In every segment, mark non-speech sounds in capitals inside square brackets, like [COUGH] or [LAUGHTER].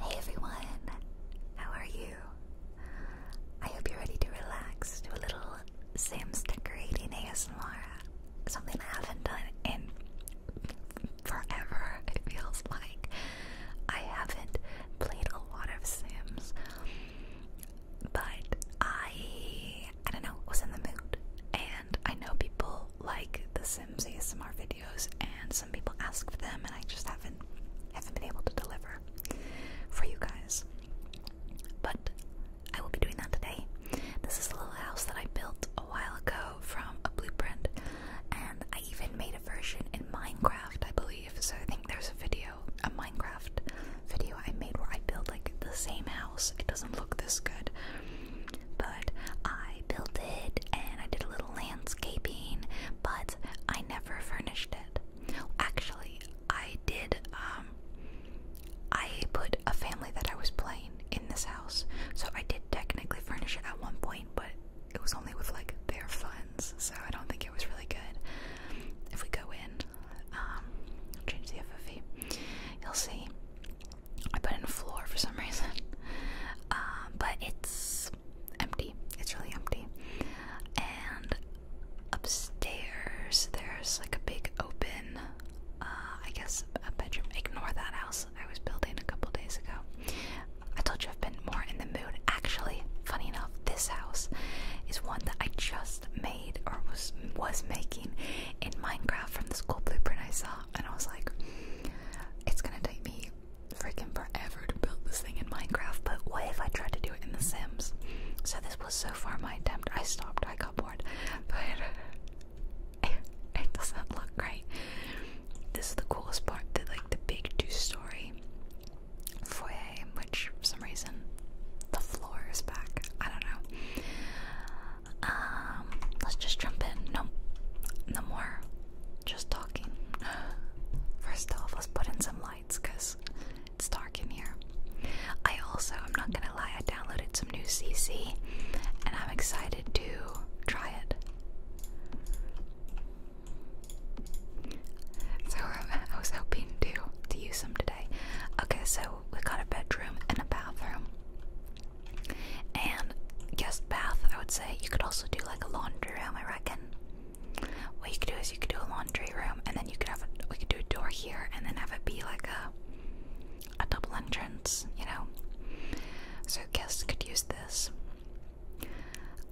Hey everyone, how are you? I hope you're ready to relax to a little Sims decorating ASMR. Something I haven't done in forever, it feels like. I haven't played a lot of Sims, but I, I don't know, was in the mood. And I know people like the Sims ASMR videos and some people ask for them and I just haven't haven't been able to deliver for you guys. But I will be doing that today. This is a little house that I built a while ago from a blueprint and I even made a version in Minecraft, I believe. So I think there's a video, a Minecraft video I made where I built like the same house. It doesn't look this good. But I built it and I did a little landscaping, but I never furnished it. Actually, I did, um, I put a family that I was playing in this house, so I did technically furnish it at one point, but it was only with like their funds, so I don't think it was really good. If we go in, um, change the FFE, you'll see I put in a floor for some reason. [LAUGHS] Um, but it's empty. It's really empty. And upstairs, there's like a big open, uh, I guess, a bedroom. Ignore that house I was building a couple days ago. I told you I've been more in the mood. Actually, funny enough, this house is one that I just made or was was making in Minecraft from the school blueprint I saw, and I was like, it's gonna take me freaking forever to build this thing in Minecraft, but what if I tried to do it in The Sims? So this was so far my attempt. I stopped, I got bored. But [LAUGHS] it doesn't look great. This is the coolest part, the like the big two-story foyer, which for some reason the floor is back. I don't know. Um let's just jump in. No no more just talking. [GASPS] First off, let's put in some lights because it's dark in here. I also, I'm not gonna lie, I downloaded some new CC and I'm excited to try it. So [LAUGHS] I was hoping to to use them today. Okay, so we got a bedroom and a bathroom. And guest bath, I would say. You could also do like a laundry room, I reckon. What you could do is you could do a laundry room, and then you could have a, we could do a door here, and then have it be like a a double entrance, you know. So guests could use this.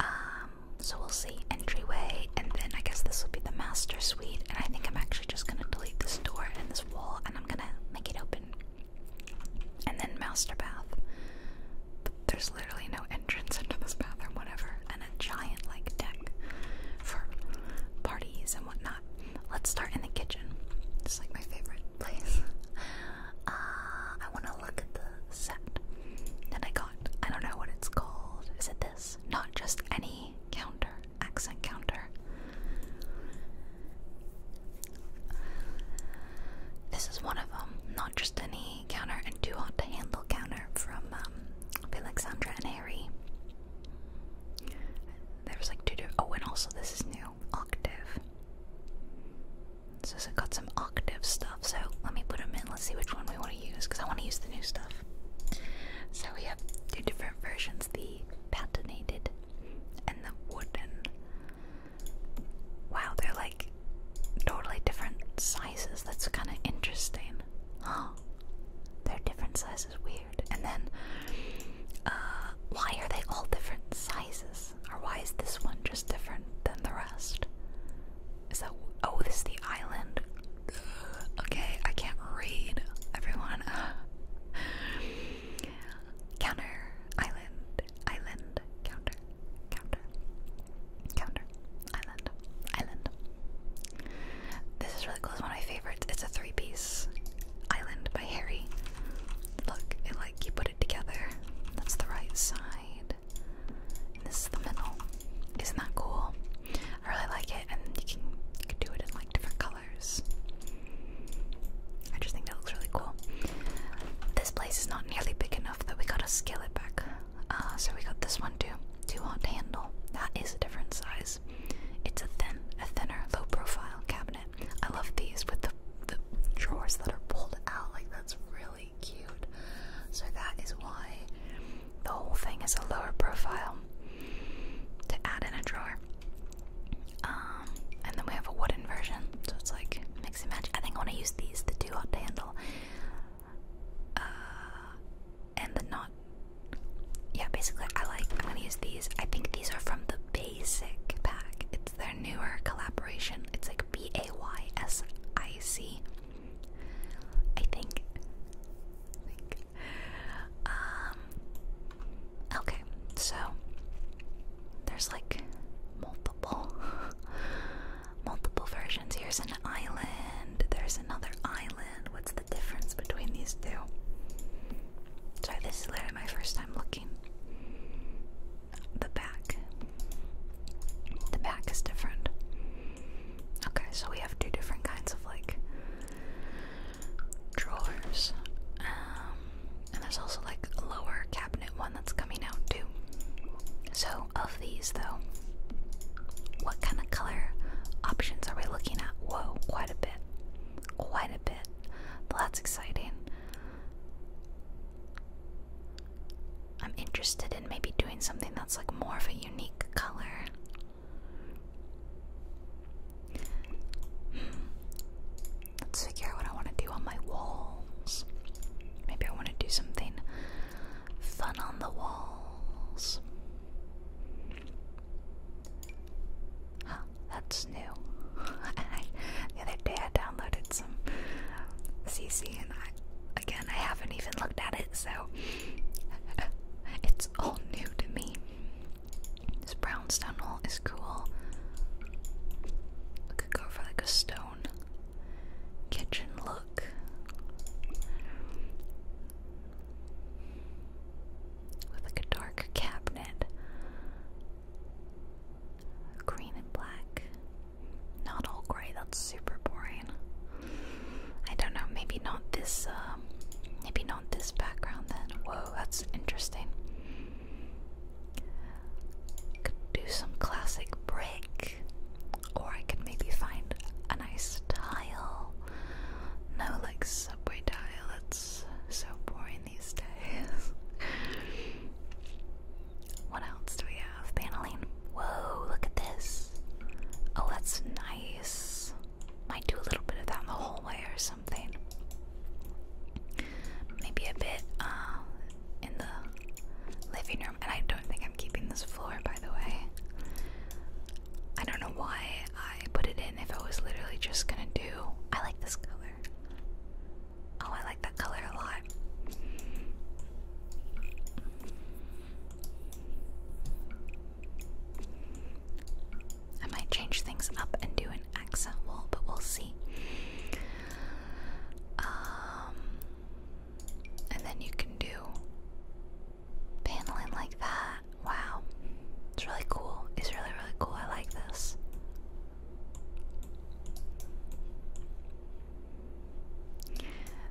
Um, so we'll see entryway, and then I guess this will be the master suite. And I think I'm actually just gonna delete this door and this wall, and I'm gonna make it open and then master bath. there's literally no entrance into this bathroom, whatever, and a giant like deck for parties and whatnot. Let's start in the kitchen. It's like my favorite [LAUGHS] place. Uh, I want to look at the set that I got. I don't know what it's called. Is it this? Not just any counter, accent counter. This is one of them, um, not just any counter and too hot to handle counter from um, Alexandra and Harry. There was like two different. Oh, and also this is new octave. So I has got some octave stuff. So let me put them in. Let's see which one we want to use because I want to use the new stuff. So we have two different versions: the patinated and the wooden. Wow, they're like totally different sizes. That's kind of interesting. Huh? They're different sizes. Weird. And then, uh, why are they all different sizes? Or why is this one just different than the rest? Is that. Oh, this is the island. Okay, I can't read. Everyone. [SIGHS] Counter. Island. Island. Counter counter, counter, island, island. This is really cool. It's one of my favorites. It's a three-piece island by Harry. Look, it like you put it together. That's the right side. And this is the middle. Isn't that cool? I really like it, and you can you can do it in like different colors. I just think that looks really cool. This place is not nearly big enough that we gotta scale it back. Uh, so we got this one too. Too hot handle. That is a different size. It's a thin, a thinner, low-profile cabinet. I love these with the the drawers that are pulled out. Like that's really cute. So that is why the whole thing is a lower profile to add in a drawer. Um, um, and then we have a wooden version, so it's like mix and match. I think I want to use these, the two hot to handle. Uh, and the knot. Yeah, basically, I like. I'm gonna use these. I think these are from the basic pack. It's their newer collaboration. It's like B A Y S I C. I think. Um. Okay, so there's like multiple, [LAUGHS] multiple versions. Here's an island. There's another island. What's the difference between these two? Sorry, this is literally my first time looking. The back. The back is different. Okay, so we have two different kinds of like drawers. Um, and there's also like a lower cabinet one that's coming out too. So, of these though, what kind of color options are we looking at? Whoa, quite a bit. Quite a bit. that's exciting. I'm interested in maybe doing something that's like more of a unique color. Hmm. Let's figure out what I want to do on my walls. Maybe I want to do something fun on the walls. that's new. [LAUGHS] the other day I downloaded some CC and again, I haven't even looked at it, so [LAUGHS] it's all new to me. This brownstone wall is cool. We could go for like a stone kitchen look. With like a dark cabinet. Green and black. Not all gray, that's super boring. I don't know, maybe not this, um, maybe not this background then. Whoa, that's interesting. Could do some classic brick, or I could maybe find a nice tile. No, like subway tile, It's so boring these days. [LAUGHS] what else do we have? Paneling. Whoa, look at this. Oh, that's nice. Might do a little bit of that in the hallway or something. Maybe a bit, uh, in the living room. And I don't think I'm keeping this floor, by the way. I don't know why I put it in if I was literally just gonna do. I like this color. Oh, I like that color a lot. I might change things up and do an accent wall, but we'll see. Um, and then you can do paneling like that. Wow, it's really cool. It's really, really cool. I like this.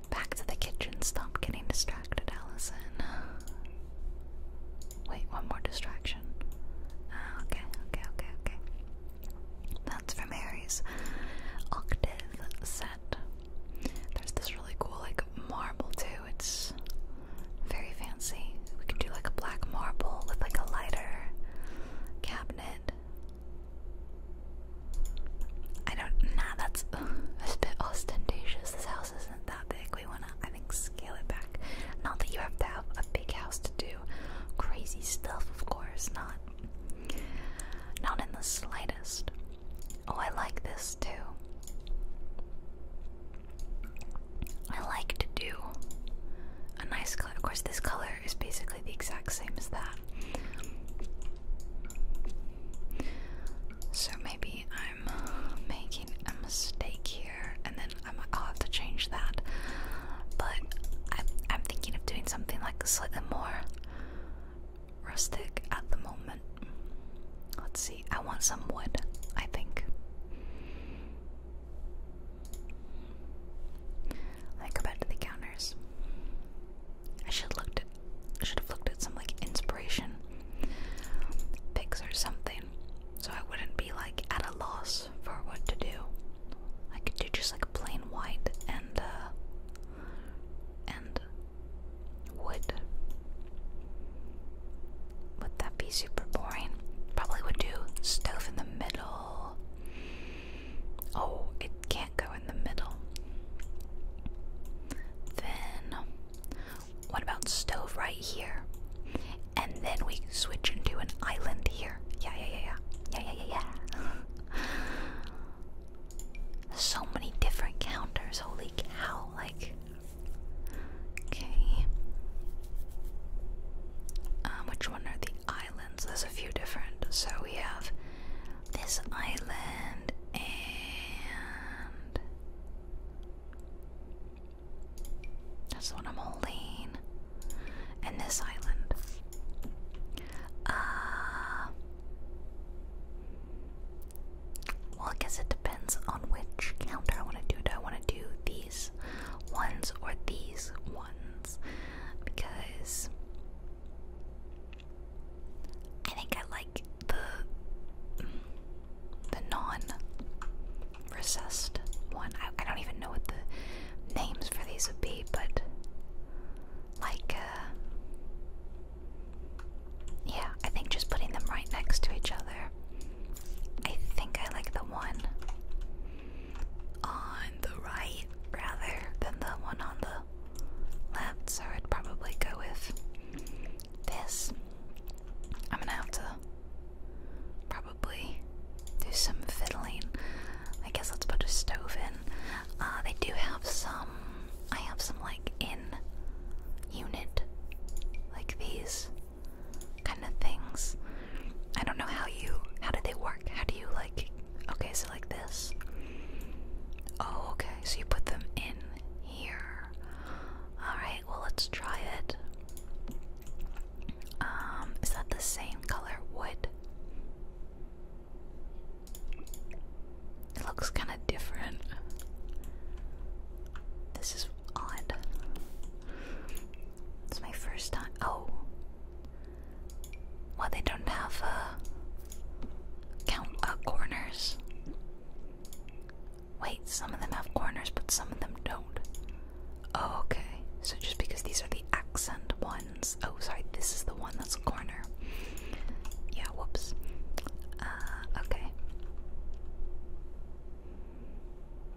Back to the kitchen. Stop getting distracted, Allison. Wait, one more distraction. Ah, okay, okay, okay, okay. That's from Harry's octave set. There's this really cool like marble too. It's very fancy. We could do like a black marble with like a lighter cabinet. I don't nah that's it's a bit ostentatious. This house isn't that big. We wanna I think scale it back. Not that you have to have a big house to do crazy stuff, of course not. Not in the slightest. Oh, I like this too. I like to do a nice color. Of course, this color is basically the exact same as that. So maybe I'm making a mistake here, and then I'm, I'll have to change that but I, am thinking of doing something like slightly more rustic at the moment. Let's see, I want some wood, I think. I go the counters. I should looked should have looked at some like inspiration pics or something. So I wouldn't be like at a loss for what to do. I could do just like plain white and uh, and wood. Would that be super boring? Probably would do stove in the middle. Oh, it can't go in the middle. Then what about stove right here? And then we we switch into an island here. Yeah, yeah, yeah, yeah. Yeah, yeah, yeah, yeah. [LAUGHS] so many different counters. Holy cow. Like, okay. Um, which one are the islands? There's a few different. So we have this island and. That's the one I'm holding and this island. Uh, well, I guess it depends on which counter I want to do. Do I want to do these ones or these ones? Because I think I like the the non processed one. I don't even know what the names for these would be, but like, uh, yeah, I think just putting them right next to each other. I think I like the one on the right rather than the one on the left, so I'd probably go with this. I'm gonna have to probably do some fiddling. I guess let's put a stove in. Uh, they do have some. I have some like in unit, like these kind of things. I don't know how you. How do they work? How do you like. Okay, so like this. Oh, okay, so you put them in here. Alright, well, let's try it. Um, is that the same color wood? It looks kind of different. This is odd. It's my first time. Oh. Well, they don't have uh, count uh, corners. Wait, some of them have corners, but some of them don't. Oh, okay. So just because these are the accent ones. Oh, sorry, this is the one that's a corner. Yeah, whoops. Uh, okay.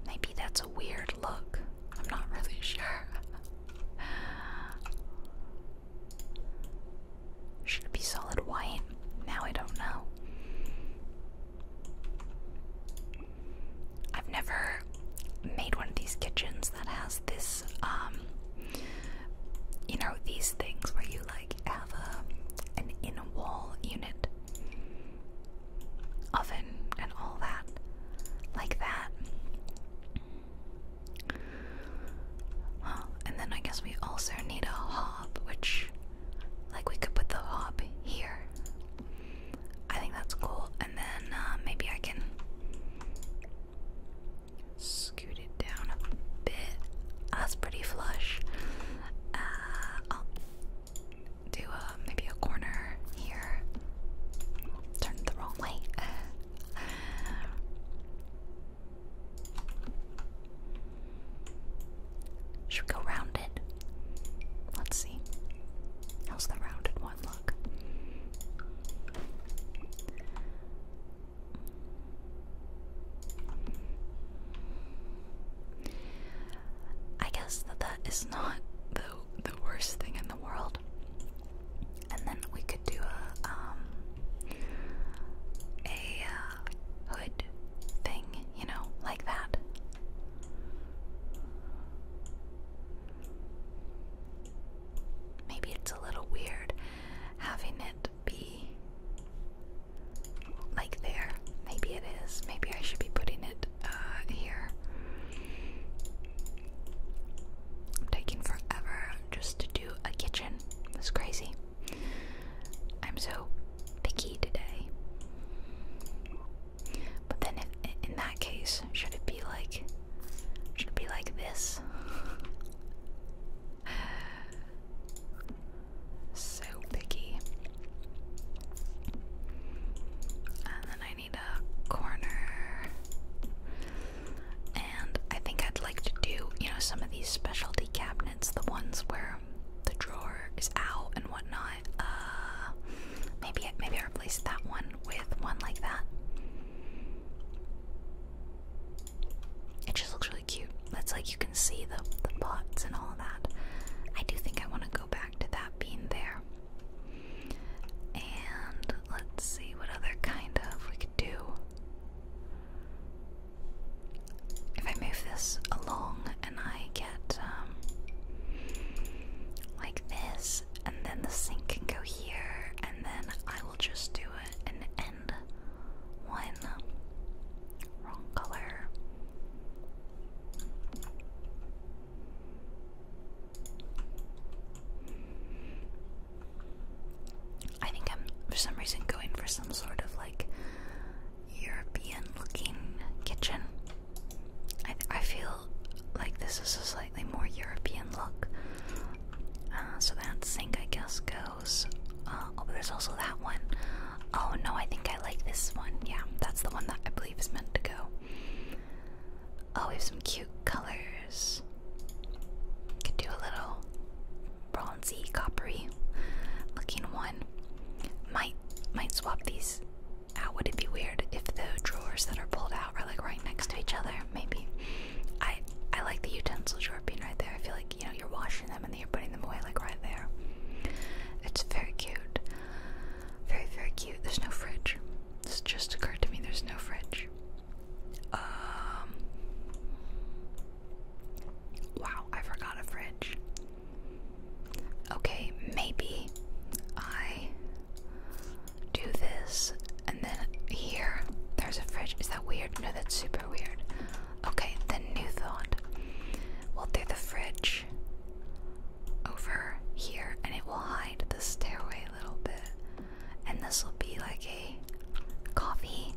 Maybe that's a weird look. I'm not really [LAUGHS] sure. Should it be solid white? Now I don't know. I've never made one of these kitchens that has this, um, you know, these things where you like have a, an in wall unit, oven, and all that. Like that. and then I guess we also need a hob, which, like, we could put the hob here. I think that's cool. And then uh, maybe I can scoot it down a bit. Ah, that's pretty flush. Uh, I'll do uh, maybe a corner here. Turn the wrong way. [LAUGHS] Should go round it? Let's see. How's the rounded one look? I guess that that is not the the worst thing in the world. And then we could do a um a uh, hood thing, you know, like that maybe it's a little weird having it be like there. Maybe it is. Maybe I should be putting it uh, here. I'm taking forever just to do a kitchen. That's crazy. I'm so picky today. But then, in that case, should it be like, should it be like this? [LAUGHS] so picky. And then I need a corner. And I think I'd like to do, you know, some of these specialty cabinets, the ones where the drawer is out and whatnot. Uh, Maybe maybe I replaced that one with one like that. It just looks really cute. That's like you can see the the pots and all that. I do think I want to go back to that being there. And let's see what other kind of we could do. If I move this along and I get um, like this, and then the sink can go here, and then I will just do it and end one wrong color. I think I'm for some reason going for some sort of like European looking kitchen. I feel like this is a slightly more European look. Uh, so that sink, I guess, goes. Uh, oh, but there's also that one. Oh no, I think I like this one. Yeah, that's the one that I believe is meant to go. Oh, we have some cute colors. Could do a little bronzy, coppery looking one. Might might swap these out. Would it be weird if the drawers that are pulled out are like right next to each other? maybe. I I like the utensil drawer being right there. I feel like you know you're washing them and then you're putting them away like right there. It's very cute, very very cute. There's no fridge. This just occurred to me. There's no fridge. Um, wow, I forgot a fridge. Okay, maybe I do this, and then here there's a fridge. Is that weird? No, that's super weird. Okay, then new thought. We'll do the fridge over here, and it will hide the stairway a little bit. And this will be like a coffee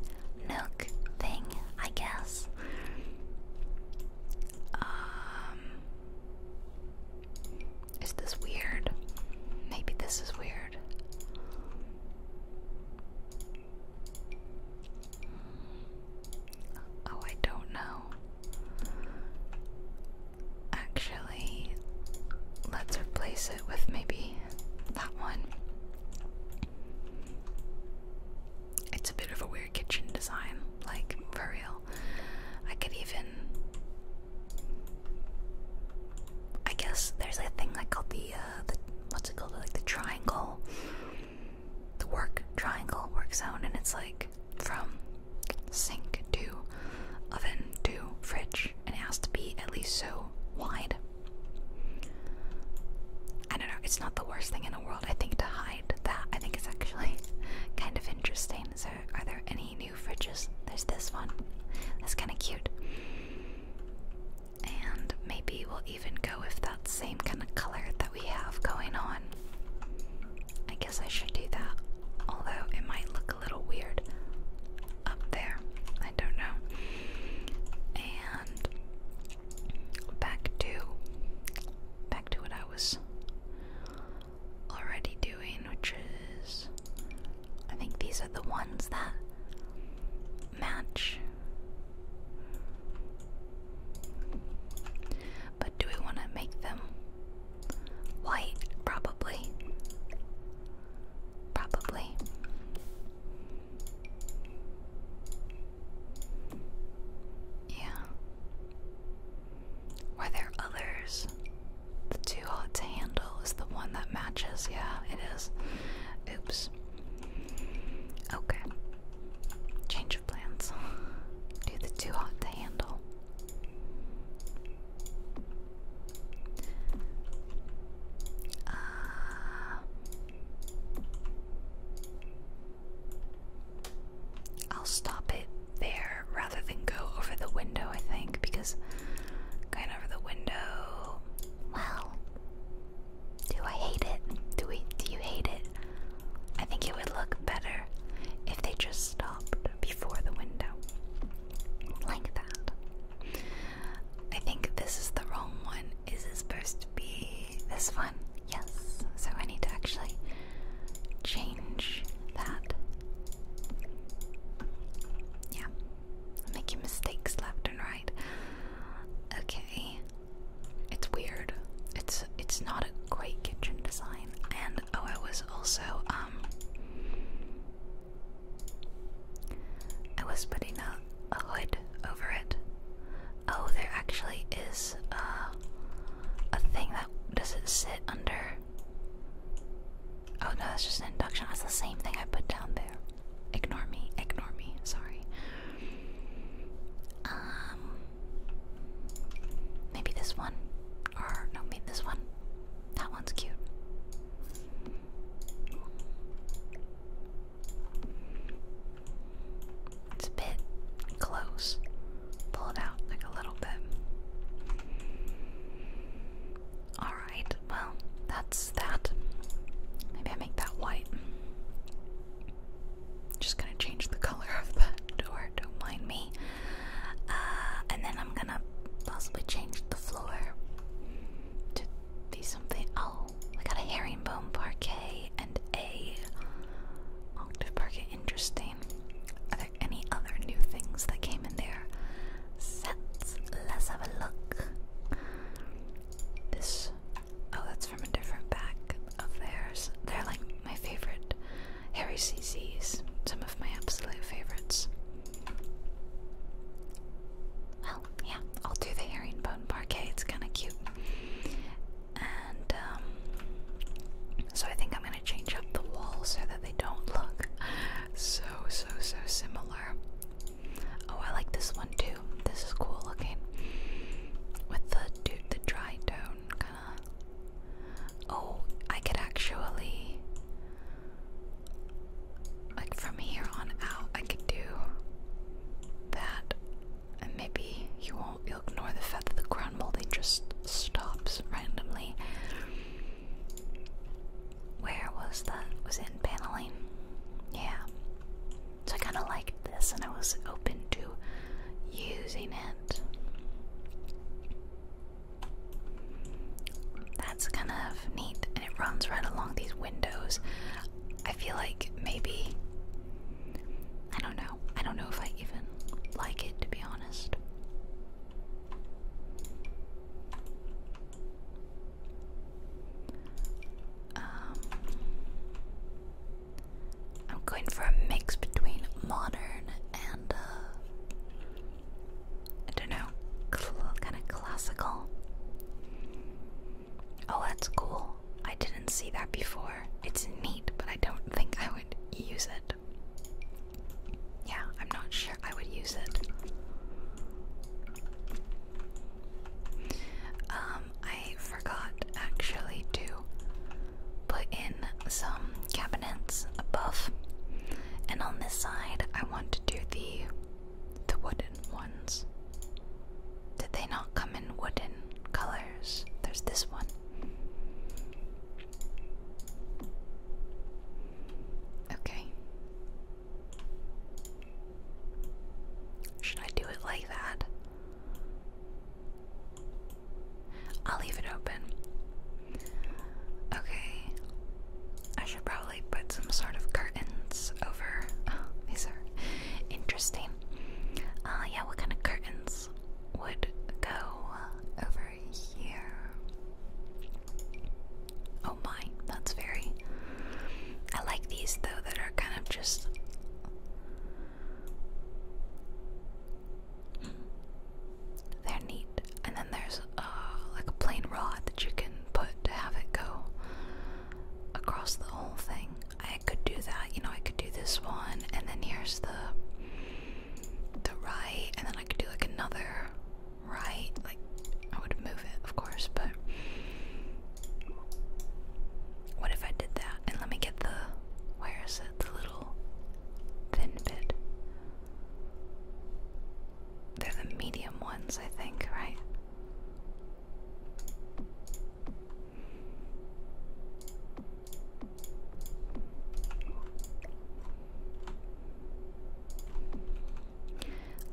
nook thing, I guess. Um, is this weird? Maybe this is weird. Oh, I don't know. Actually, let's replace it with maybe that one. It's a bit of a weird kitchen design, like for real. I could even I guess there's a thing like called the uh, the what's it called like the triangle, the work triangle work zone, and it's like from sink to oven to fridge, and it has to be at least so wide. I don't know. It's not the worst thing in the world. I think to hide that, I think it's actually [LAUGHS] kind of interesting online. are there any new fridges? There's this one. That's kind of cute. And maybe we'll even go with that same kind of color that we have going on. I guess I should do that. Although it might look a little weird up there. I don't know. And back to back to what I was already doing, which is. I think these are the ones that match. But do we want to make them white? Probably. Probably. Yeah. Were there others? The too hot to handle is the one that matches. Yeah, it is. Oops. Okay. Change of plans. [LAUGHS] Do the too hot to handle. Uh, I'll stop it there rather than go over the window, I think, because going over the window. Well, do I hate it? Do we? Do you hate it? I think it would look better if they just stopped before the window, like that. I think this is the wrong one. Is it supposed to be this one? Yes. So I need to actually change that yeah, I'm making mistakes left and right. Okay, it's weird. It's it's not a great kitchen design. And oh, I was also um, I was putting a, a hood over it. Oh, there actually is uh, a thing that does it sit under? Oh no, that's just an induction. That's the same thing I put down there. Ignore me, ignore me, sorry. Um maybe this one. Or no, maybe this one. That one's cute. It's a bit close. Pull it out like a little bit. Alright, well, that's that. Maybe I make that white. Just gonna change the color of the door, don't mind me. Uh, and then I'm gonna possibly change the floor to be something. Oh, I got a herringbone parquet and a octave parquet. Interesting any other new things that came in there? sets? Let's have a look. This. Oh, that's from a different pack of theirs. They're like my favorite Harry CC's, some of my absolute favorites. Well, yeah, I'll do the herringbone parquet. It's kind of cute. And um, so I think I'm going change up the walls so that they don't look so, so, so similar. Oh, I like this one too. This is cool looking. With the dude, the dry tone kind of. Oh, I could actually, like from here on out, I could do that, and maybe you won't. ignore the fact that the ground molding just stops randomly. Where was that? Was in paneling? Yeah. So I kind of liked this and I was open to using it. That's kind of neat and it runs right along these windows. I feel like maybe. I don't know. I don't know if I even like it to be honest. Um, I'm going for a mix between modern and uh, I don't know, kind of classical. Oh, that's cool. I didn't see that before. It's neat, but I don't think I would use it. Yeah, I'm not sure I would use it. Um, I forgot actually to put in some cabinets above, and on this side, I want to do the the wooden ones. Did they not come in wooden colors? There's this one. Okay. Should I do it like that? I'll leave it open. Okay. I should probably put some sort of curtains over. Oh, these are interesting. Uh, yeah, what kind of curtains would go over Oh my, that's very. I like these though, that are kind of just. They're neat. And then there's uh, like a plain rod that you can put to have it go across the whole thing. I could do that, you know, I could do this one, and then here's the the right, and then I could do like another right, like I would move it, of course, but what if I did that? And let me get the where is it? The little thin bit. They're the medium ones, I think, right?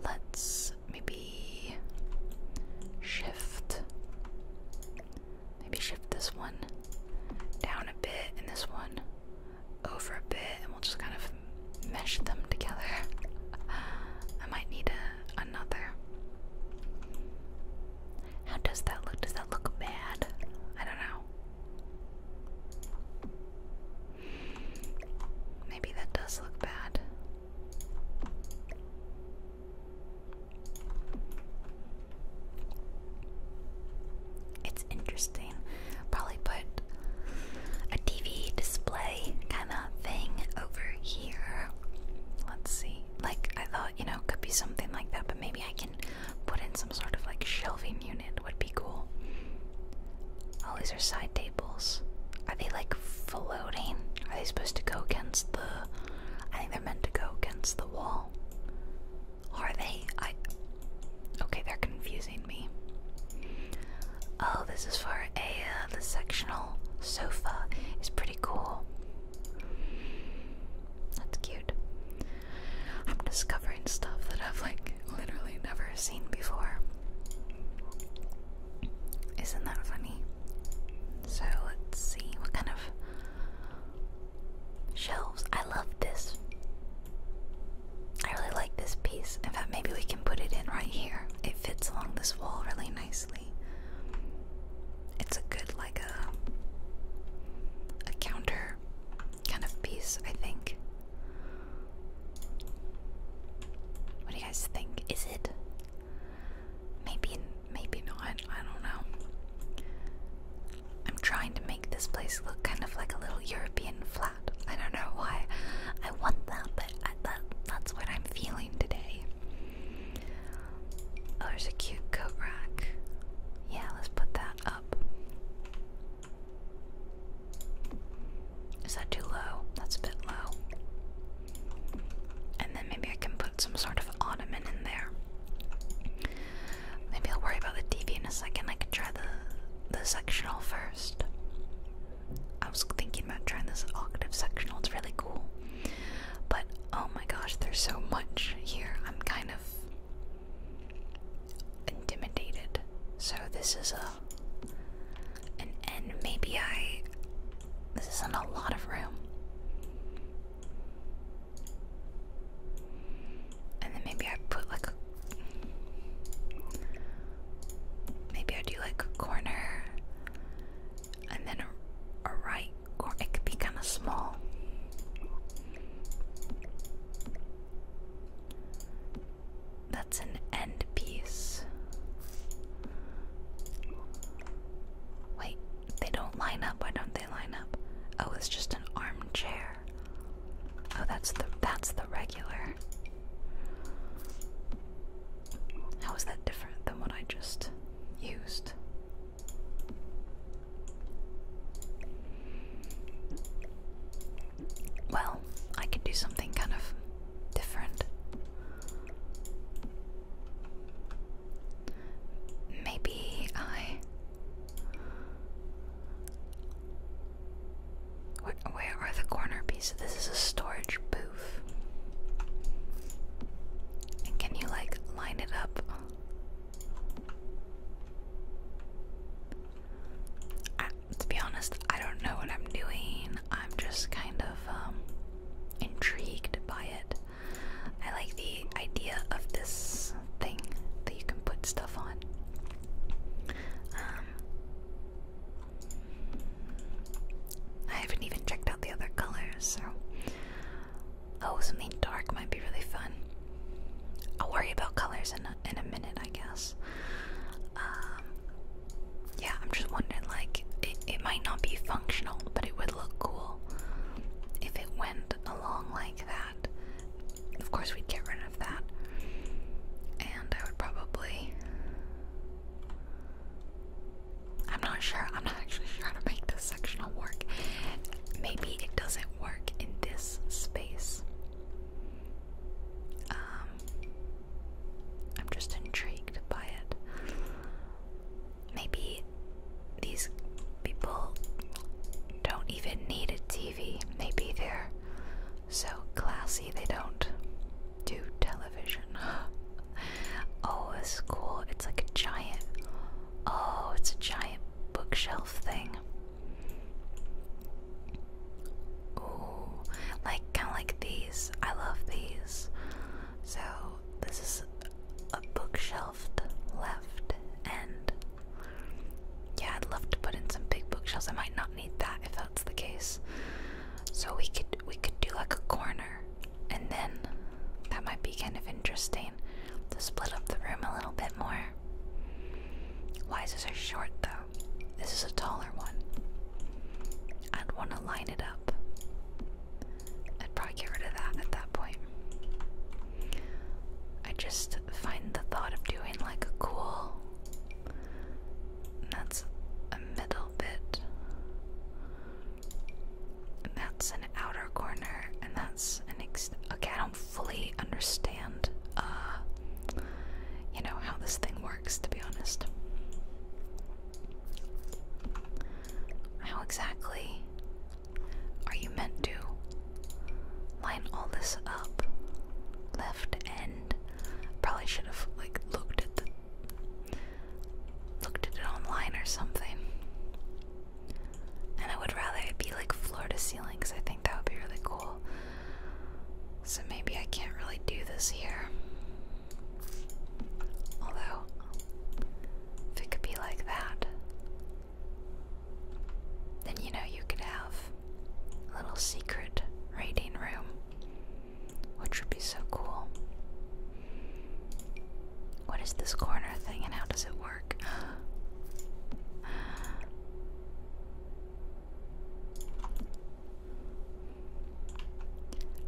Let's maybe shift. Maybe shift this one down a bit and this one over a bit, and we'll just kind of mesh them together. [LAUGHS] I might need a, another. How does that look? Does that look bad? I don't know. Maybe that does look bad. It's interesting. Probably put a TV display kind of thing over here. Let's see. Like, I thought, you know, could be something like that, but maybe I can put in some sort of like shelving unit, would be cool. All oh, these are side tables. Are they like floating? Are they supposed to go against the. I think they're meant to go against the wall. Are they? I. Okay, they're confusing me. Oh, this is for a. Uh, the sectional sofa is pretty cool. That's cute. I'm discovering stuff that I've like literally never seen before. Isn't that funny? So let's see what kind of shelves. I love this. I really like this piece. In fact, maybe we can put it in right here. It fits along this wall really nicely. It's a good like a a counter kind of piece, I think. What do you guys think? Is it? Maybe, maybe not. I don't know. I'm trying to make this place look kind of like a little European flat. I don't know why I want that, but that, that's what I'm feeling today. Oh, there's a cute coat rack. Yeah, let's put that up. Is that too low? That's a bit low. And then maybe I can put some sort of ottoman in there. Maybe I'll worry about the TV in a second. I could try the the sectional first. I was thinking about trying this octave sectional. It's really cool. But oh my gosh, there's so much here. I'm kind of intimidated. So this is a an end. Maybe I. This isn't a lot of room. And then maybe I put like a. Maybe I do like a corner and then a, right or It could be kind of small. That's an end piece. Wait, they don't line up. Why don't they line up? Oh, it's just an armchair. Oh, that's the that's the regular. How is that different than what I just used? Well, I can do something kind of different. Maybe I. Where, are the corner pieces? This is a storage booth. can you like line it up? I, to be honest, I don't know what I'm doing. I'm just kind of um, intrigued by it. I like the idea of this thing that you can put stuff on. Um, I haven't even checked out the other colors, so. Oh, something dark might be really fun. I'll worry about colors enough in a minute, I guess. Um, yeah, I'm just wondering, like, it, it might not be functional, but it would look cool if it went along like that. Of course, we'd get rid of that. And I would probably. I'm not sure. I'm not actually [LAUGHS] sure how to make this sectional work. Maybe it doesn't work in this space. Um, I'm just intrigued by it. Maybe these people don't even need a TV. Maybe they're so classy they don't do television. [LAUGHS] oh, it's cool. It's like a giant. Oh, it's a giant bookshelf thing. Ooh, like kind of like these. I love these. So this is a bookshelf left and Yeah, I'd love to put in some big bookshelves. I might not need that if that's the case. So we could we could do like a corner, and then that might be kind of interesting to split up the room a little bit more. Why is this so short though? This is a taller one. I'd want to line it up. I'd probably get rid of that at that point. I just find the thought of doing like a cool. That's a middle bit. And that's an outer corner, and that's an ex. Okay, I don't fully understand uh, you know, how this thing works, to be honest. How exactly are you meant to line all this up? Left end. Probably should have like looked at the looked at it online or something. And I would rather it be like floor to ceiling because I think that would be really cool. So maybe I can't really do this here. Although, if it could be like that, then you know you could have a little secret raiding room, which would be so cool. What is this corner thing and how does it work? [GASPS] [LAUGHS]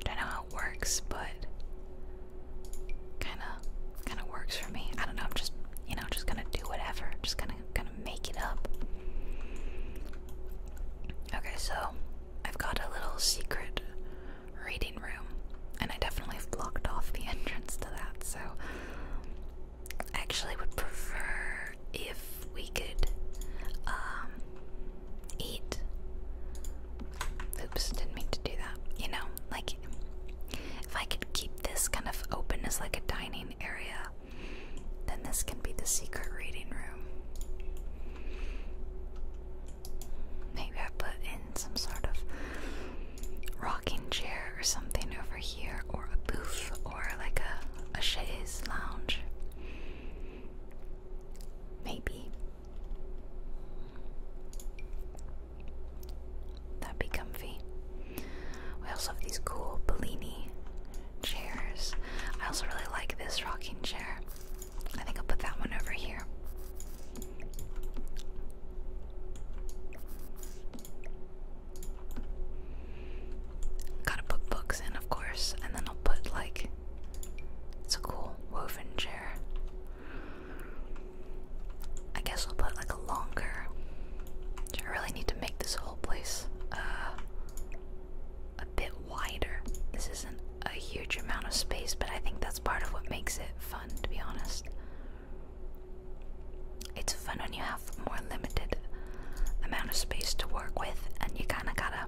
Don't know how it works, but kind of, kind of works for me. I don't know. I'm just, you know, just gonna do whatever. just gonna, gonna make it up. Okay, so I've got a little secret reading room, and I definitely blocked off the [LAUGHS] entrance to that. So actually would prefer if we could um, eat. Oops, didn't mean to do that. You know, like if I could keep this kind of open as like a dining area, then this can be the secret reading room. Maybe I put in some sort of rocking chair or something over here here, or a booth, or like a, a chaise lounge. Maybe. That'd be comfy. We also have these cool Bellini chairs. I also really like this rocking chair. I think I'll put that one over here. Gotta put books in, of course, and then I'll put like it's a cool woven chair. I guess I'll put like a longer. I really need to make this whole place uh, a bit wider. This isn't a huge amount of space, but I think that's part of what makes it fun, to be honest it's fun when you have more limited amount of space to work with and you kind of gotta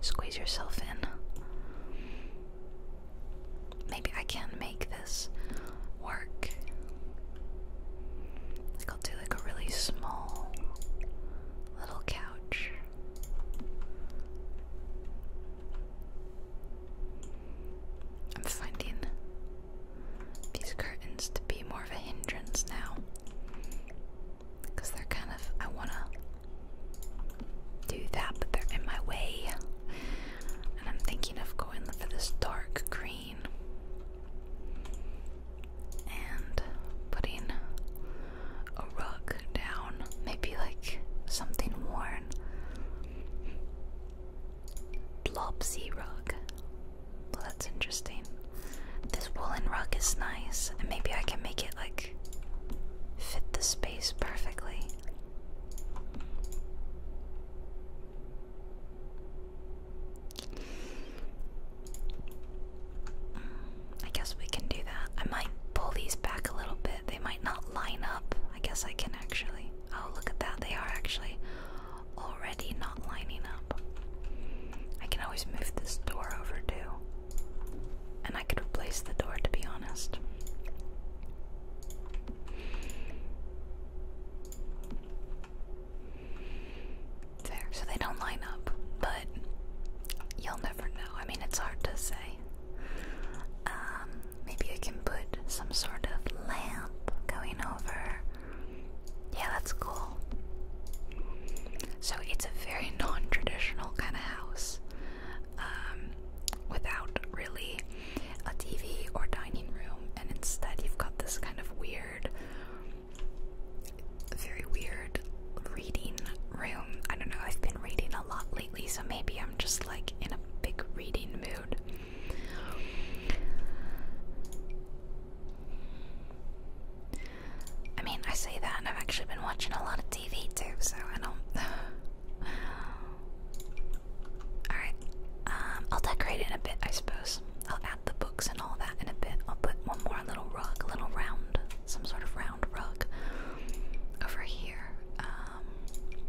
squeeze yourself in. Maybe I can make this work. Like I'll do like a really small little couch. I'm finding these curtains to be more of a hindrance now. Because they're kind of. I want to do that, but they're in my way. And I'm thinking of going for this dark green and putting a rug down. Maybe like something worn. Blobsy rug. Well, that's interesting. This woolen rug is nice, and maybe I can make it like fit the space perfectly. Mm, I guess we can do that. I might pull these back a little bit. They might not line up. I guess I can actually. Oh, look at that. They are actually already not lining up. I can always move this door over too. And I could replace the door to be honest. There, so they don't line up, but you'll never know. I mean, it's hard to say. Um, maybe I can put some sort of lamp going over yeah, that's cool. So it's a very non traditional kind of house um, without really a TV or dining room, and instead you've got this kind of weird, very weird reading room. I don't know, I've been reading a lot lately, so maybe I'm just like in a big reading mood. I mean, I say that, and I've actually been watching a lot of TV too, so I don't. [LAUGHS] Alright, um, I'll decorate it in a bit, I suppose. I'll add the books and all that in a bit. I'll put one more little rug, a little round, some sort of round rug over here. Um,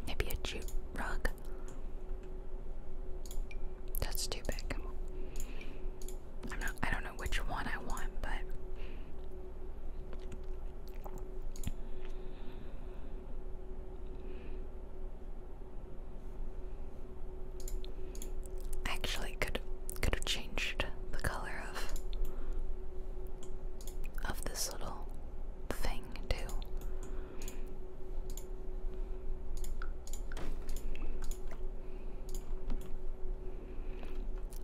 maybe a jute rug. That's too big i don't know which one I want, but actually could could have changed the color of of this little thing too.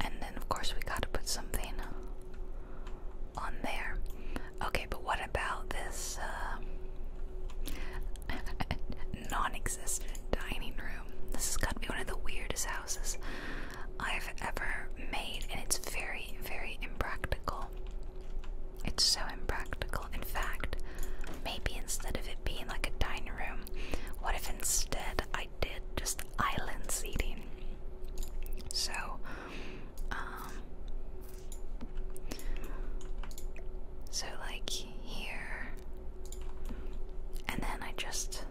And then, of course, we gotta put something on there. Okay, but what about this uh, [LAUGHS] non existent dining room? This is gotta be one of the weirdest houses I've ever made, and it's very, very impractical. It's so impractical. In fact, maybe instead of it being like a dining room, what if instead I did just island seating? So, um, so like here, and then I just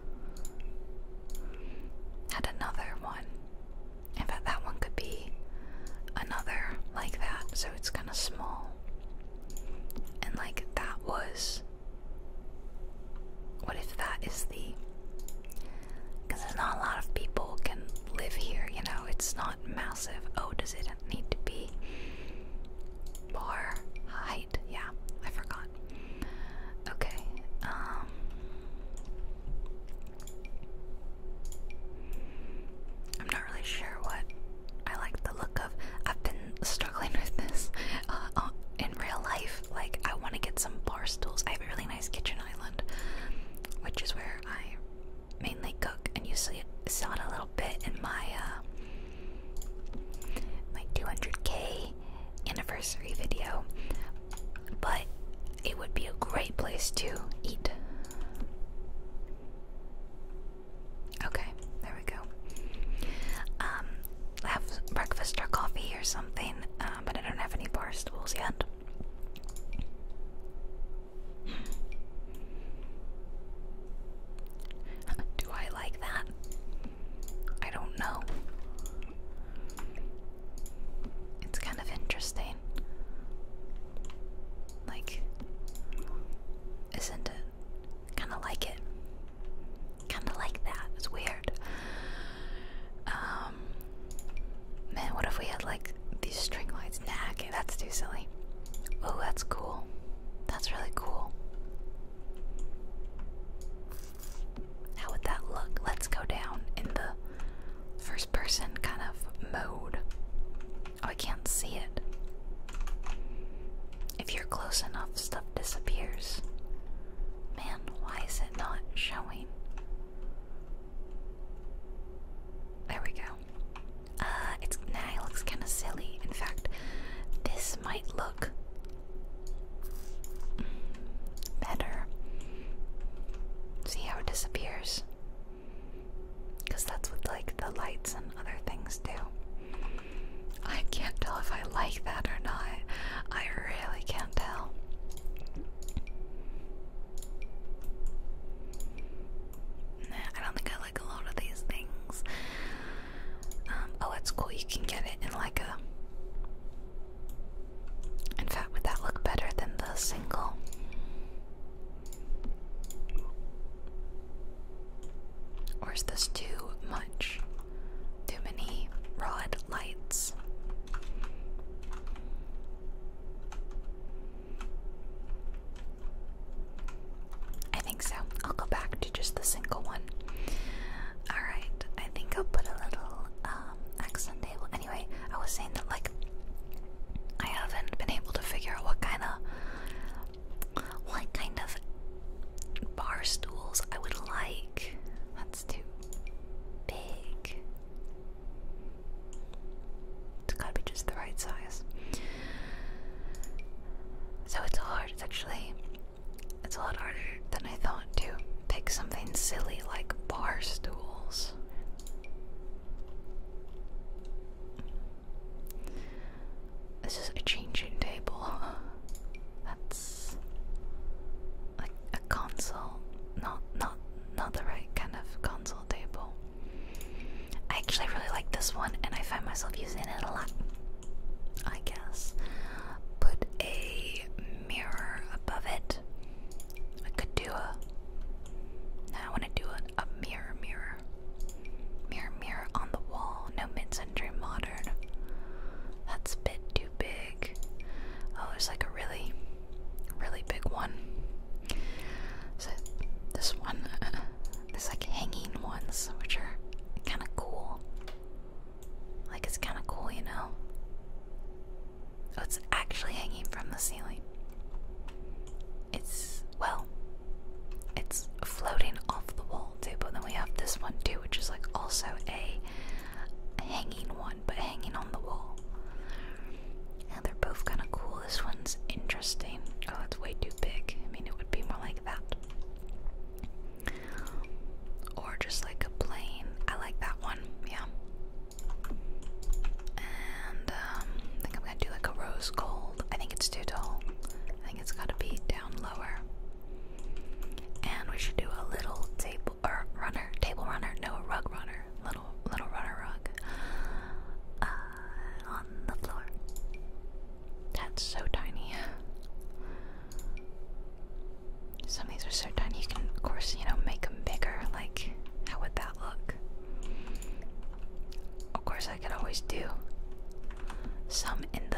had another one. In fact, that one could be another like that, so it's kind of small. And like that was what if that is the because not a lot of people can live here, you know, it's not massive. Oh, does it need to be bar height? Yeah, I forgot. Okay, um I'm not really sure what I like the look of. I've been struggling [LAUGHS] with this uh, uh, in real life. Like, I want to get some bar stools. I have a really nice kitchen island, which is where I mainly cook, and you see, saw it a little bit in my uh, my 200k anniversary video. But it would be a great place to eat. Okay, there we go. Um, have breakfast or coffee or something, uh, but I don't have any bar stools yet. [LAUGHS] Do I like that? I don't know. It's kind of interesting. Like, isn't it? Kind of like it. Kind of like that. It's weird. Um, man, what if we had like these string lights? Nah, that's too silly. Oh, that's cool. That's really cool. How would that look? Let's go down in the first person kind of mode. Oh, I can't see it. If you're close enough, stuff disappears. Man, why is it not showing? There we go. Uh, it's now it looks kind of silly. In fact, this might look better. See how it disappears? Because that's what like the lights and other things do. I can't tell if I like that or not. I really can't tell. I don't think I like a lot of these things. Um, oh, it's cool. You can get it in like a. In fact, would that look better than the single? Or is this too much? Too many rod lights. I think so. I'll go back to just the single one. Alright, I think I'll put a little um, accent table. Anyway, I was saying that, like, I haven't been able to figure out what kind of what kind of bar stools I would like. That's too big. It's gotta be just the right size. So it's hard. It's actually it's a lot harder than I thought to pick something silly like bar stools. This is a changing table. [LAUGHS] That's like a console. Not not not the right kind of console table. I actually really like this one and I find myself using it a lot. I guess. Put a mirror above it. I could do a. I want to do a, a mirror mirror. Mirror, mirror on the wall. No mid-century modern. That's a bit too big. Oh, there's like a really, really big one. So this one, uh, [LAUGHS] there's like hanging ones, which are kind of cool. Like it's kind of cool, you know. Oh, it's actually hanging from the ceiling. It's well, it's floating off the wall too, but then we have this one too, which is like also a, hanging one, but hanging on the wall. And they're both kind of cool. This one's interesting. Oh, it's way too big. I mean, it would be more like that. Or just like a plane. I like that one, yeah. And um, I think I'm gonna do like a rose gold. I think it's too tall. I think it's gotta be down lower. And we should do a little table or runner, table runner, no, a rug runner, little little runner rug uh, on the floor. That's so tiny. Some of these are so tiny. You can, of course, you know, make them bigger. Like, how would that look? Of course, I could always do. Some in the.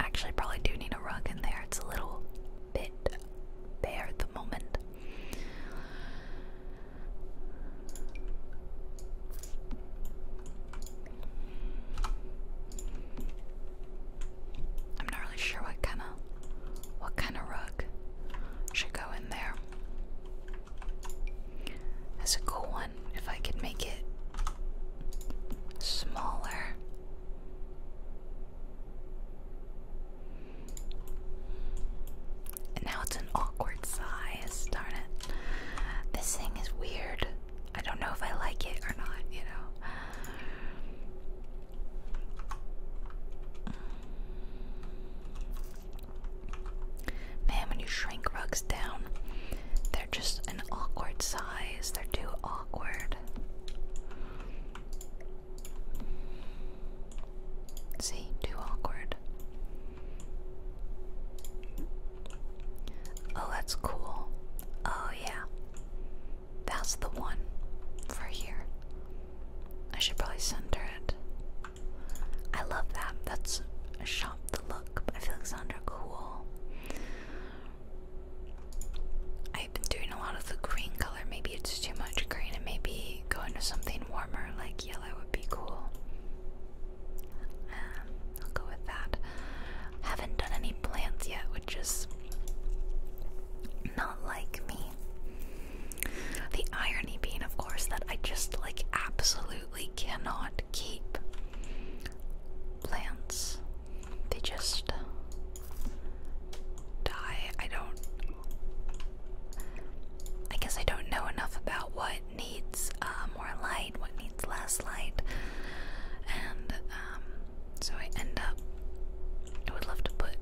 Actually, probably do need a rug in there. It's a little bit bare at the moment. I'm not really sure what kind of what kind of rug should go in there. That's a cool one. If I could make it smaller. And now it's an awkward size. Darn it. This thing is weird. I don't know if I like it or not, you know. Man, when you shrink rugs down, they're just an awkward size. They're too awkward. See, too awkward. Oh, that's cool. Oh, yeah. That's the one for here. I should probably center it. I love that. That's a shine the look by Alexandra Cool. I've been doing a lot of the green color. Maybe it's too much green, and maybe going to something warmer like yellow would be cool. Um, I'll go with that. Haven't done any plants yet, which is not like me. The irony being, of course, that I just like absolutely absolutely cannot keep plants. They just die. I don't. I guess I don't know enough about what needs uh, more light, what needs less light, and um, so I end up. I would love to put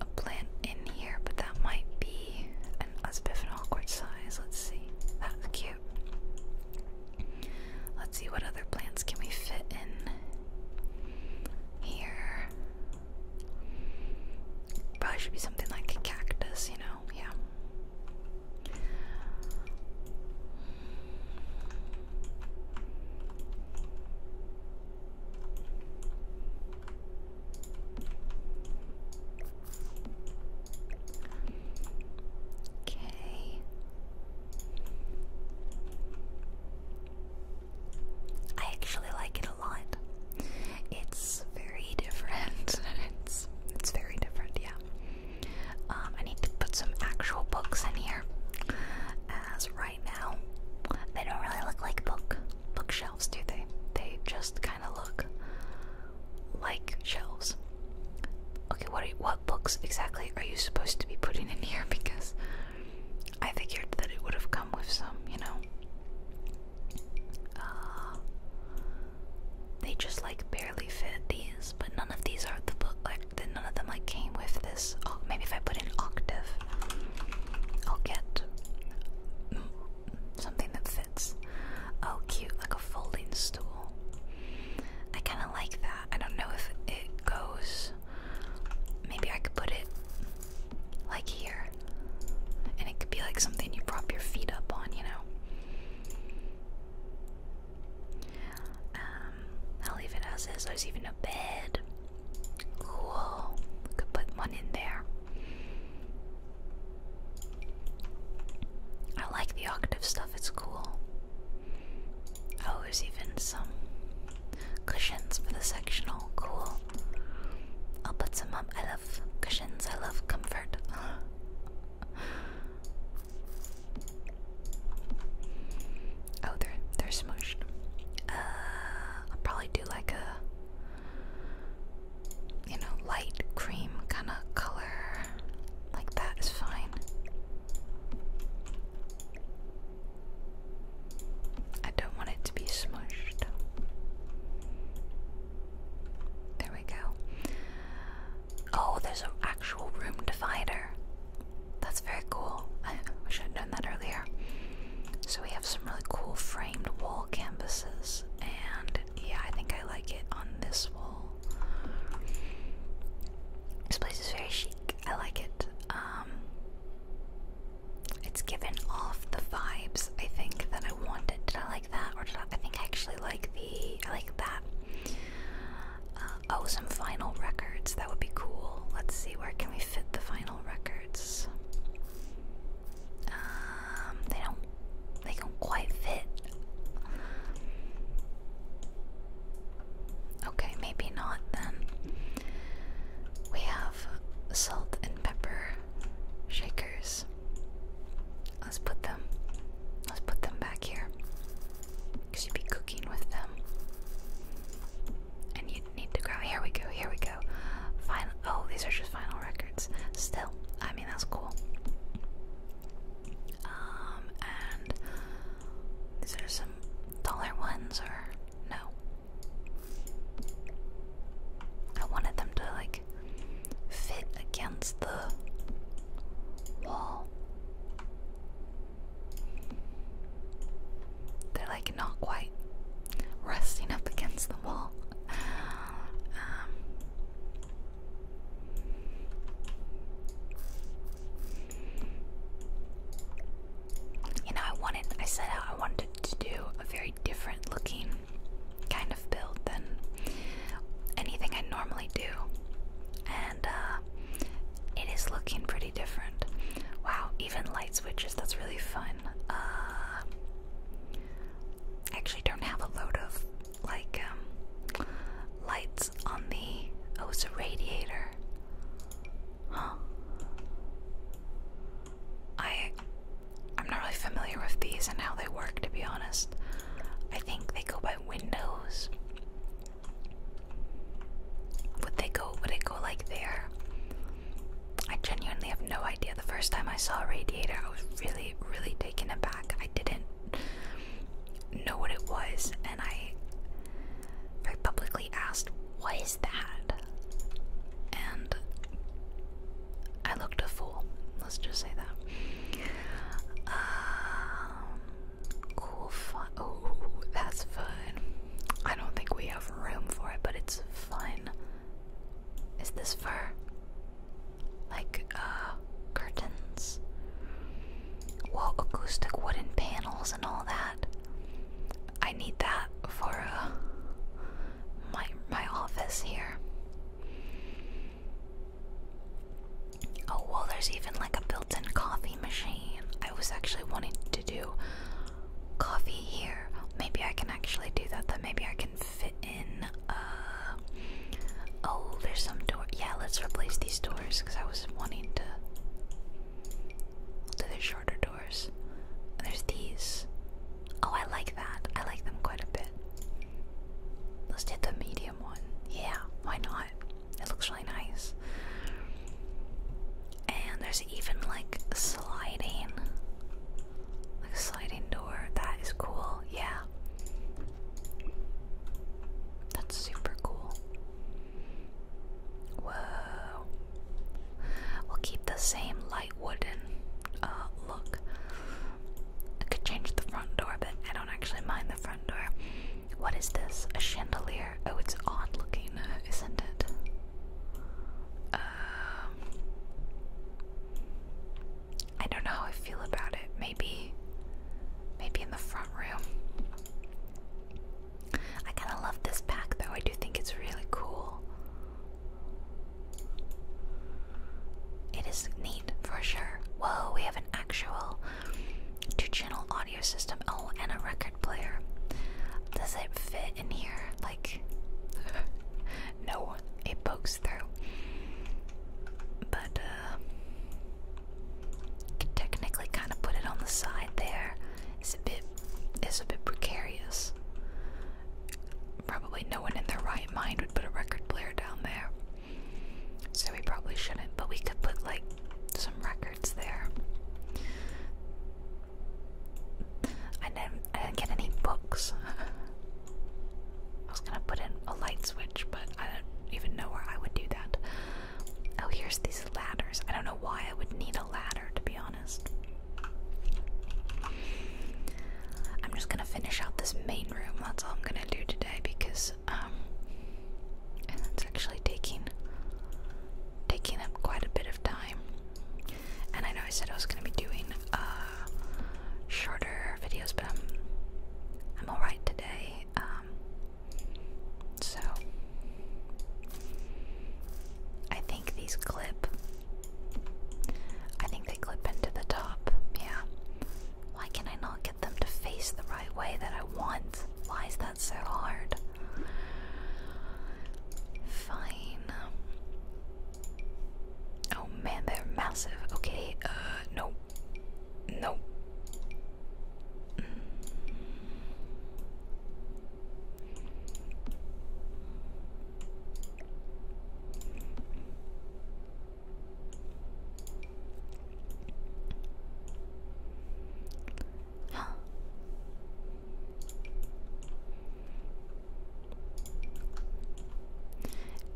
a plant in here, but that might be an, a bit an awkward size. Let's see. That's cute. Let's see what other plants can we fit in here. Probably should be something like a cactus, you know? Yeah. Okay. I actually like it a lot. It's very different. [LAUGHS] it's it's very different, yeah. Um, I need to put some actual books in here. As right now, they don't really look like book bookshelves, do they? They just kind of look like shelves. Okay, what what books exactly are you supposed to be putting in here? [LAUGHS] Because I figured that it would have come with some, you know. Uh, they just like barely fit these, but none of these are the book. Like none of them like came with this. Oh, maybe if I put in octave, I'll get something that fits fits. Oh, cute, like a folding stool. I kind of like that. I don't know if it goes. Maybe I could put it like here. And it could be like something you prop your feet up on, you know? Um, I'll leave it as is. There's even a bed. Cool. Could put one in there. I like the octave stuff, it's cool. Oh, there's even some cushions for the sectional. Cool. I'll put some up. I love cushions, I love comfort. [GASPS] oh, they're they're smooshed. Uh, I'll probably do like a you know, light cream kind of color like that is fine. I don't want it to be smushed. There we go. Oh, there's an actual room divider. That's very cool. [LAUGHS] I should have known that earlier. So we have some really cool framed wall canvases, and yeah, I think I like it on this wall. This place is very chic. I like it. Um, it's given off the vibes I think that I wanted. Did I like that, or did I? I think I actually like the. I like that. Uh, oh, some final records. That would be cool. Let's see. Where can we fit the final records? Um, they don't they don't quite fit. Okay, maybe not then. We have salt and pepper shakers. Let's put them. Let's put them back here. Cause you'd be cooking with them, and you would need to grab. Here we go. Here we go. Final. Oh, these are just final records. Still, I mean that's cool. Um, and is there some taller ones or no? I wanted them to like fit against the wall. They're like not quite resting up against the wall. Um, you know, I wanted, I said I wanted to do a very different looking kind of build than anything I normally do. And uh, it is looking pretty different. Wow, even light switches, that's really fun. Uh, I actually don't have a load of like um, lights on the oh it's a radiator. Huh. I I'm not really familiar with these and how they work to be honest. I think they go by windows. Would they go would it go like there? I genuinely have no idea. The first time I saw a radiator I was really, really taken aback. I didn't know what it was, and I very publicly asked, What is that? And I looked a fool. Let's just say that. Um, cool fun. Oh, that's fun. I don't think we have room for it, but it's fun. Is this fur? like uh, curtains. Well, acoustic wooden panels and all that. I need that for uh, my my office here. Oh well, there's even like a built-in coffee machine. I was actually wanting to do coffee here. Maybe I can actually do that. Then maybe I can fit in oh uh, there's some door yeah let's replace these doors because I was wanting to do the shorter doors. There's these. Oh I like that. I like them quite a bit. Let's do the medium one. Yeah, why not? It looks really nice. And there's even like sliding like a sliding door. That is cool. Yeah. That's super cool. Whoa. We'll keep the same light wooden uh, look. could change the front door, but I don't actually mind the front door. What is this? A chandelier? Oh, it's odd looking, uh, isn't it? Um, I don't know how I feel about it. Maybe maybe in the front room. I kind of love this back though. I do think it's really cool. It is neat for sure. Whoa, we have an actual two channel audio system. Oh, and a record player. Does it fit in here? Like, [LAUGHS] no, it pokes through. But uh, technically kind of put it on the side there. It's a bit it's a bit precarious. Probably no one in their right mind would put a record player down there. So we probably shouldn't, but we could put like some records there. I didn't get any books. [LAUGHS] I was gonna put in a light switch, but I don't even know where I would do that. Oh, here's these ladders. I don't know why I would need a ladder, to be honest. I'm just gonna finish out this main room. That's all I'm gonna do today because, um, and it's actually taking taking up quite a bit of time. And I know I said I was gonna be doing uh shorter videos, but i I'm alright today. Um, so, I think these clip. I think they clip into the top. Yeah. Why can I not get them to face the right way that I want? Why is that so hard? Fine. Oh man, they're massive. Okay, uh, nope. Nope. Huh.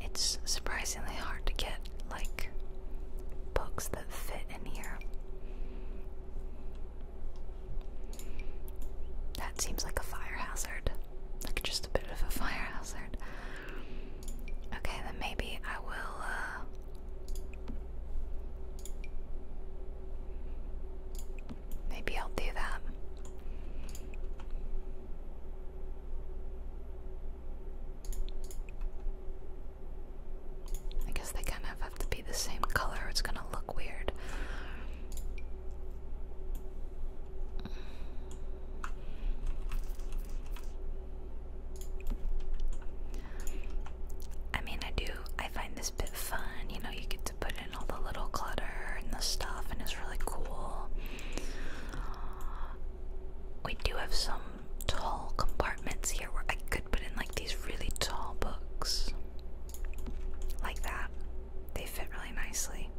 It's surprisingly hard to get like books that fit in here. That seems like a fire hazard. Like just a bit of a fire hazard. Okay, then maybe I will uh, Maybe I'll do that. I guess they kind of have to be the same color, it's gonna look weird. I mean, I do, I find this bit fun. You know, you get to put in all the little clutter and the stuff, and it's really cool we do have some tall compartments here where I could put in like these really tall books. Like that. They fit really nicely.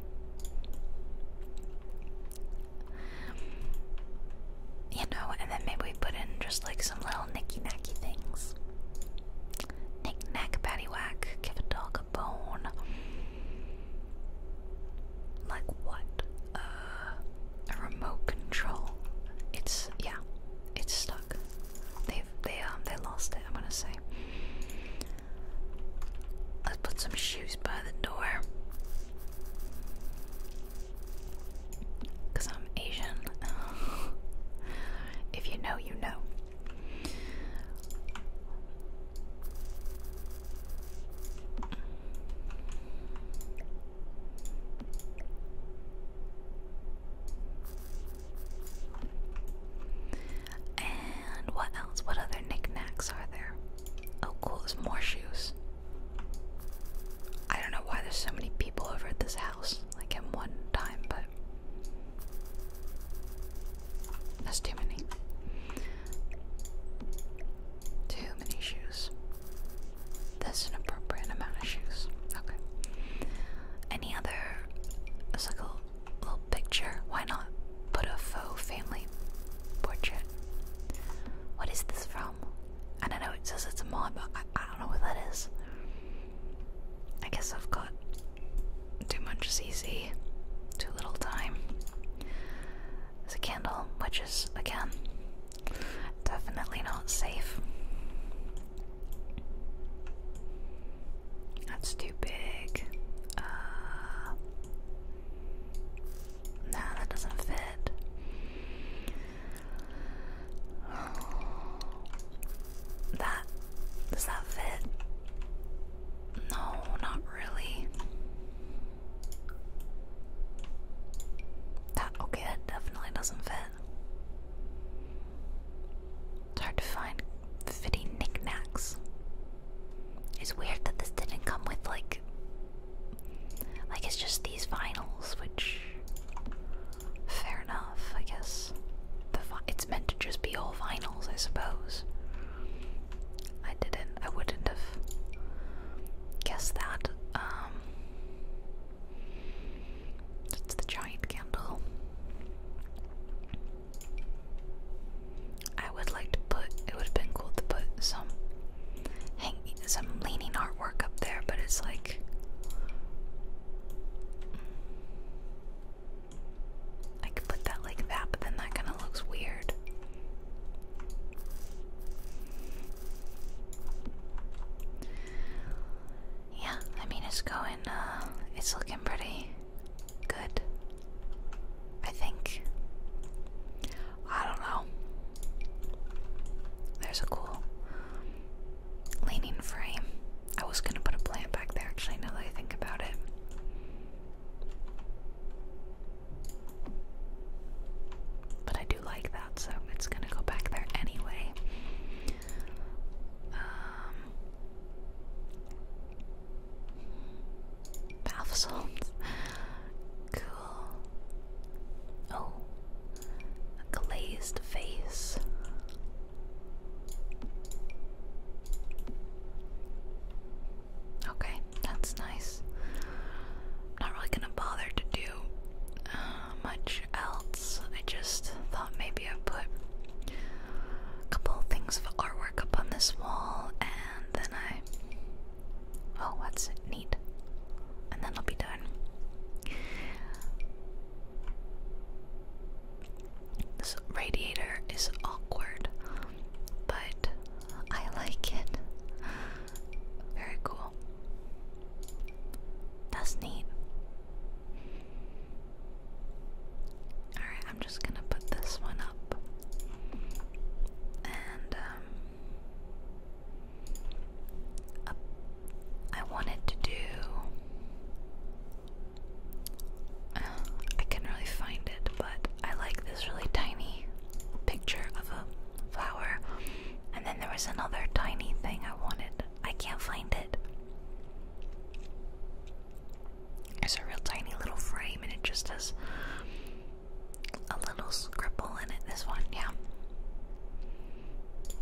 You know, and then maybe we put in just like some little nicky nacky things. Nick nack, patty whack, give a dog a bone. Like what? Uh, a remote control. It's yeah, it's stuck. They've they um they lost it. I'm gonna say. let put some shoes by the door. Cause I'm Asian. [LAUGHS] if you know, you know. And what else? What other knickknacks are there? Oh, cool, there's more shoes. I don't know why there's so many people over at this house, like at one time, but that's too many. Too many shoes. That's an appropriate amount of shoes. Okay. Any other? It's like a little picture. Why not put a faux family portrait? What is this from? I don't know. It says it's a mod, but I, don't know what that is. I guess I've got too much CC, too little time is a candle, which is, again, definitely not safe. That's too big. Uh, that doesn't fit. That does that fit? No, not really? okay, that definitely doesn't fit. It's hard to find fitting knickknacks. It's weird that this didn't come with like like it's just these vinyls, which fair enough, I guess. The it's meant to just be all vinyls, I suppose. I didn't. I wouldn't have guess that. Um, it's the giant candle. I would like to put. It would have been cool to put some some leaning artwork up there, but it's like mm. I could put that like that, but then that kind of looks weird. Yeah, I mean it's going uh it's looking pretty good. I think. I don't know. There's a cool leaning frame. I was gonna put a plant back there actually now that I think about it. But I do like that, so it's gonna go back there anyway. Um, bath Cool. Oh, a glazed face. Okay, that's nice. Not really gonna bother to do uh, much else. I just thought maybe I'd put a couple of things of artwork up on this wall and then I. Oh, what's it? neat. And then I'll be done. This radiator is awkward, but I like it. Very cool. That's neat. Alright, I'm just gonna put this one up. And, um, I wanted to do. Uh, I can really find it, but I like this really tiny picture of a flower. And then there was another tiny thing I wanted. I can't find it. It's a real tiny little frame and it just has a little scribble in it. This one, yeah.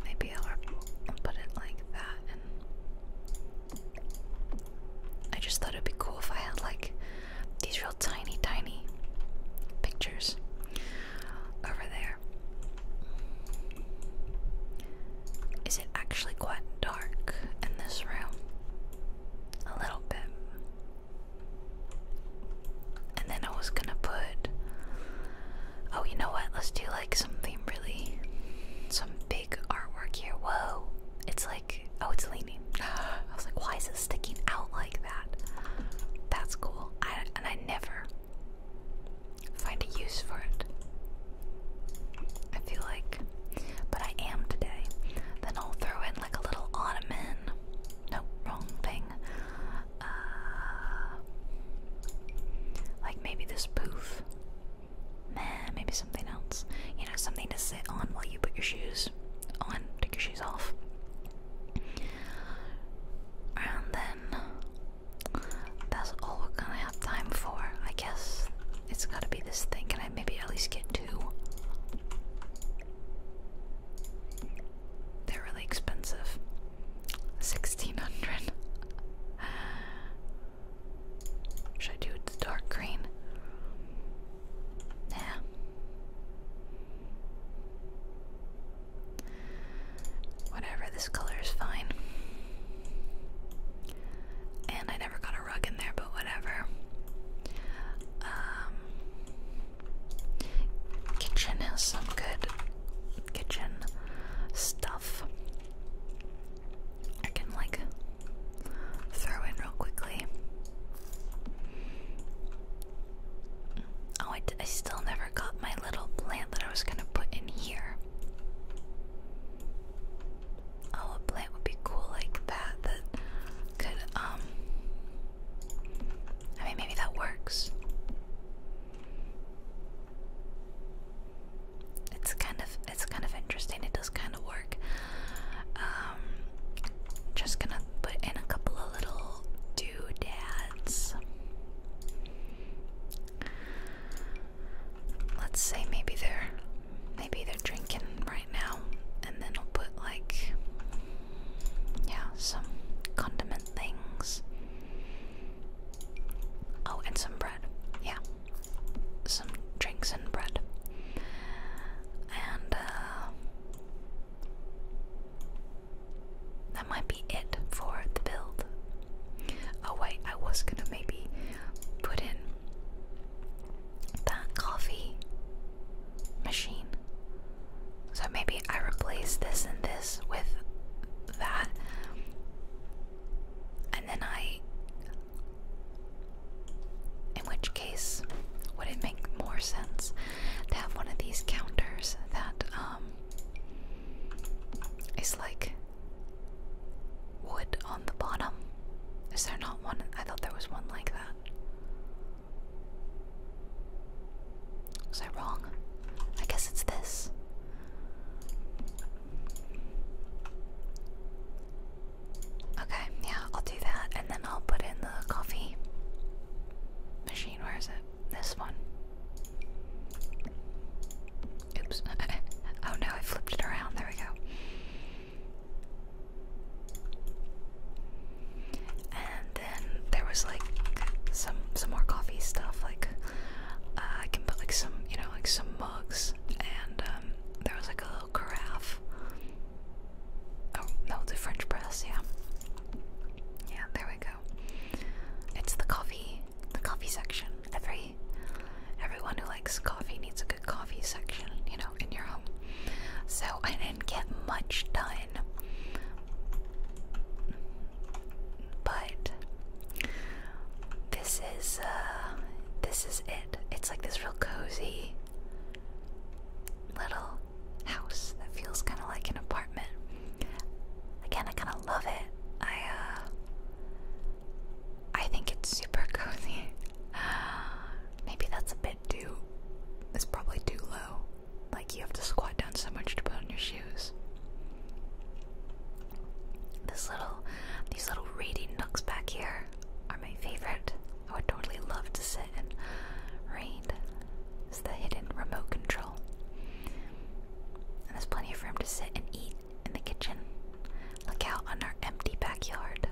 Maybe I'll, put it like that I just thought it'd be cool if I had like these real tiny, tiny pictures over there. Is it actually quite dark in this room? A little bit. And then I was gonna put. Oh, you know what? Let's do like something really. Some big artwork here. Whoa! It's like. Oh, it's leaning I was like, why is it sticking out like that? That's cool. I, and I never find a use for it. I feel like, but I am today. Then I'll throw in like a little ottoman. No, wrong thing. Uh, like maybe this poof. Meh, maybe something else. You know, something to sit on while you put your shoes on, take your shoes off. And then that's all we're gonna have time for. I guess it's gotta be this thing. Can I maybe at least get two? They're really expensive. 1600. Should I do the dark green? Yeah, Whatever, this color is fine. And I never got a rug in there, but whatever. Um, kitchen has some good kitchen stuff. I can like throw in real quickly. Oh, I, still never got my little plant that I was gonna put in here. Oh, a plant would be cool like that. That could, um. I mean, maybe that works. It's kind of it's kind of interesting. It does kind of work. Um, just gonna i in a couple of little doodads. Let's say maybe they're maybe they're drinking right now, and then I'll put like yeah some condiment things. Oh, and some bread. Yeah, some drinks and bread, and uh, that might be it for the build. Oh wait, I was gonna maybe put in that coffee machine. So maybe I replace this and this with that. And then I. In which case, would it make more sense? They have one of these counters that um is like wood on the bottom. Is there not one? I thought there was one like that. Was I wrong? I guess it's this. Okay, yeah, I'll do that and then I'll put in the coffee machine, where is it? This one. Oops. [LAUGHS] oh no, I flipped it around. There we go. And then there was like some some more coffee stuff. Like uh, I can put like some you know like some mugs, and um, there was like a little carafe Oh, no, the French press, yeah. Yeah, there we go. It's the coffee, the coffee section. Every everyone who likes coffee needs a good coffee section, you know, in your home. So I didn't get much done. But this is uh this is it. It's like this real cozy little house that feels kind of like an apartment. Again, I kind of love it. I uh, I think it's super [LAUGHS] cozy. Maybe that's a bit too. It's probably too low. Like you have to squat down so much to put on your shoes. This little, these little reedy nooks back here are my favorite. I would totally love to sit and read. It's the hidden remote control. And there's plenty of room to sit and eat in the kitchen. Look out on our empty backyard.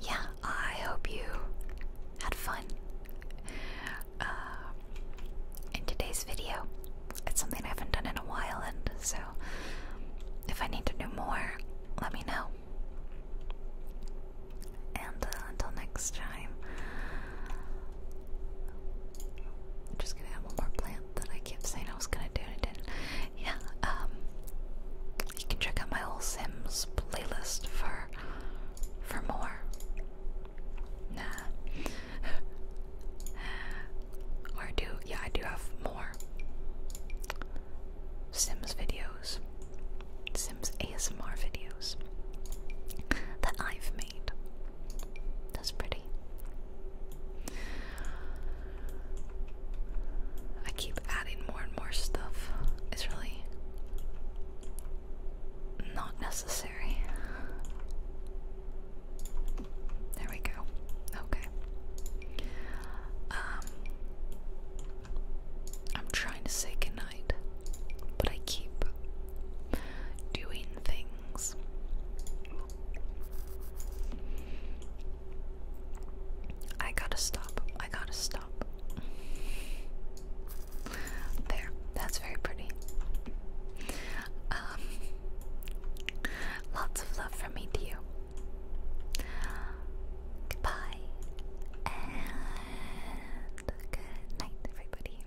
Yeah, I hope you had fun uh, in today's video. It's something I haven't done in a while, and so if I need to do more, let me know. And uh, until next time, I'm just gonna have more plant that I kept saying I was gonna do and didn't. Yeah, um, you can check out my whole Sims playlist for for more. Nah. [LAUGHS] or do yeah, I do have more. Sims videos, Sims ASMR videos that I've made. That's pretty. I keep adding more and more stuff. It's really not necessary. There we go. Okay. Um I'm trying to say goodnight but I keep doing things. I gotta stop. I gotta stop. There, that's very pretty. Um, lots of love from me to you. Goodbye. And good night, everybody.